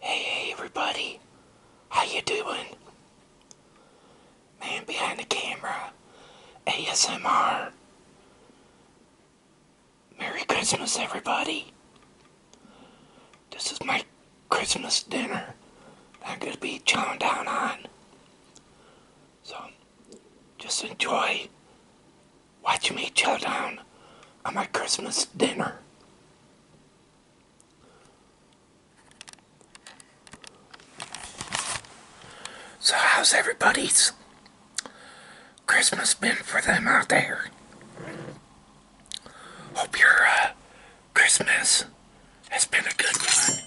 Hey, hey, everybody. How you doing? Man behind the camera. ASMR. Merry Christmas, everybody. This is my Christmas dinner I'm going to be chowing down on. So, just enjoy watch me chill down on my Christmas dinner. So how's everybody's Christmas been for them out there? Hope your uh, Christmas has been a good one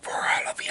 for all of you.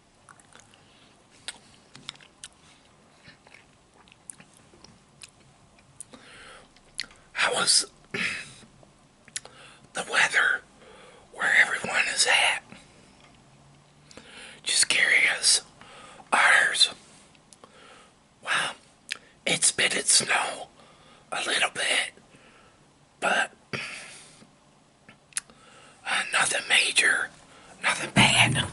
How the weather where everyone is at? Just curious. Ours. Well, it's been it snow a little bit, but uh, nothing major, nothing bad.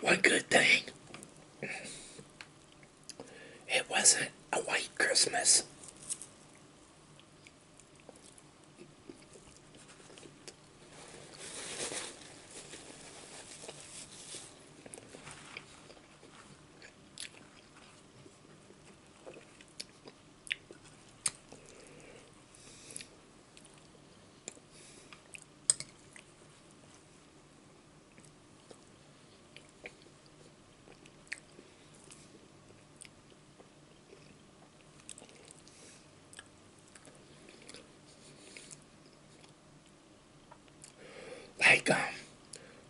One good thing, it wasn't a white Christmas. Like um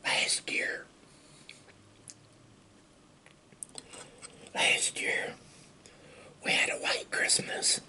last year Last year, we had a white Christmas.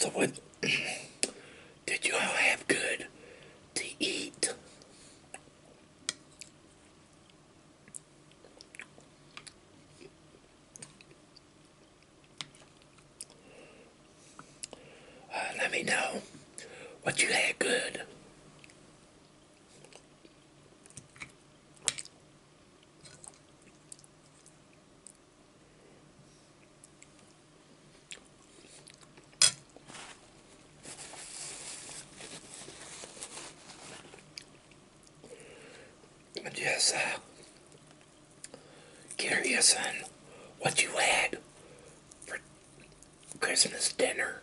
So what did you all have good to eat? Uh, let me know what you had good. Just uh, curious on what you had for Christmas dinner.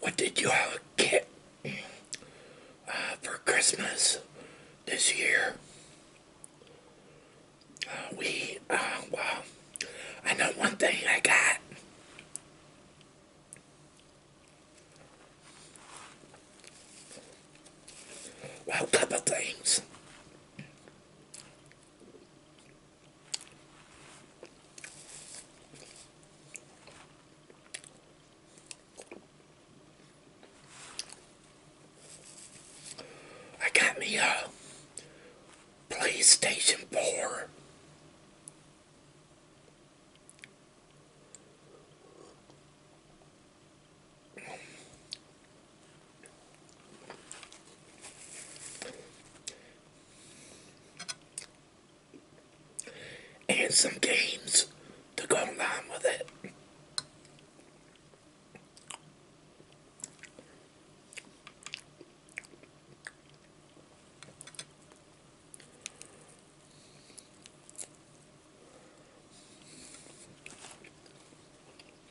What did you all get uh, for Christmas this year? Uh, we, uh, well, I know one thing I got. Well, a couple things. I got me a PlayStation 4. And some games to go along with it.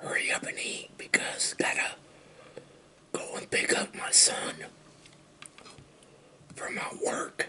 hurry up and eat because gotta go and pick up my son from my work.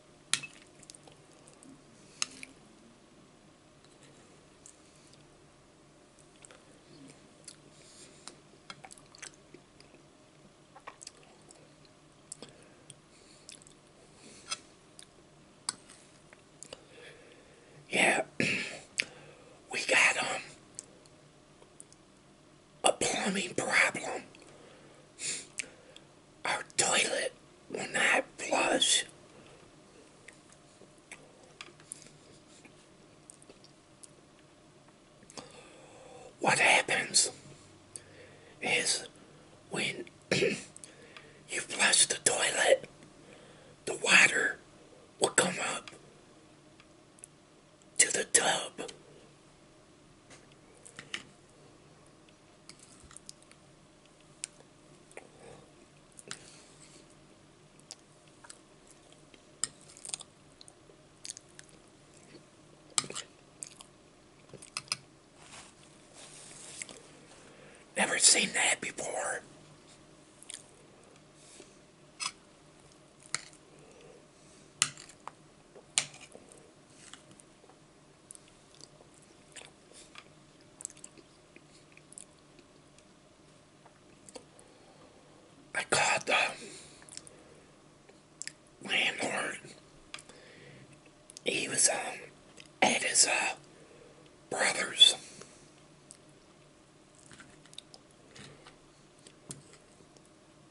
Yeah, we got um, a plumbing problem our toilet will not flush. What happens is when you flush the toilet, the water will come up to the tub. Never seen that before. I called the landlord. He was um, at his uh, brother's.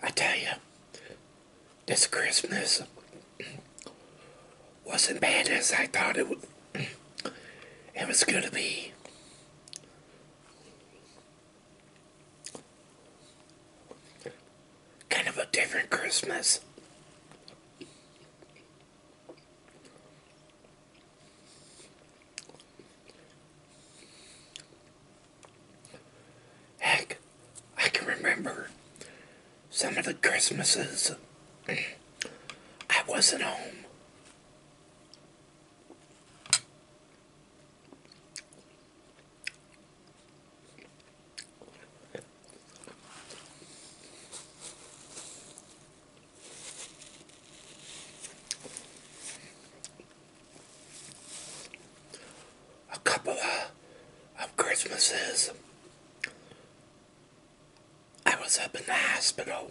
I tell you, this Christmas wasn't bad as I thought it would. It was going to be. Kind of a different Christmas. Heck, I can remember some of the Christmases I wasn't home a couple of, Christmases, I was up in the hospital.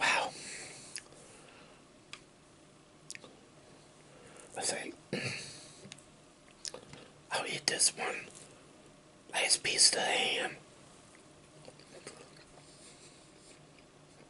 Wow. I say, I'll eat this one Nice piece of ham.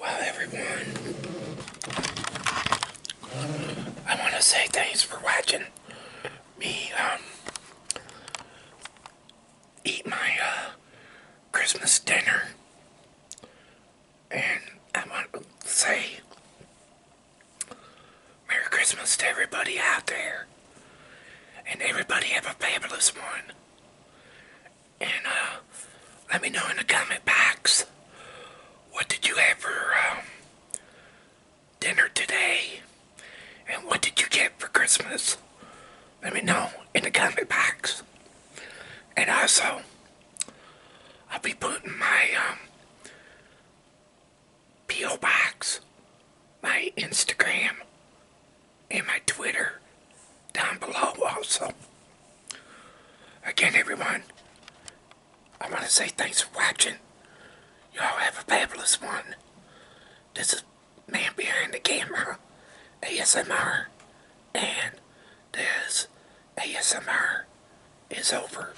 Well, everyone, I want to say thanks for watching me um, eat my uh, Christmas dinner. And I want to say Merry Christmas to everybody out there. And everybody have a fabulous one. And uh, let me know in the comment box what did you have for um, dinner today? And what did you get for Christmas? Let me know in the comment box. And also, I'll be putting my um, P.O. Box, my Instagram, and my Twitter down below also. Again, everyone, I want to say thanks for watching. Y'all have a fabulous one. This is Man Behind the Camera, ASMR, and this ASMR is over.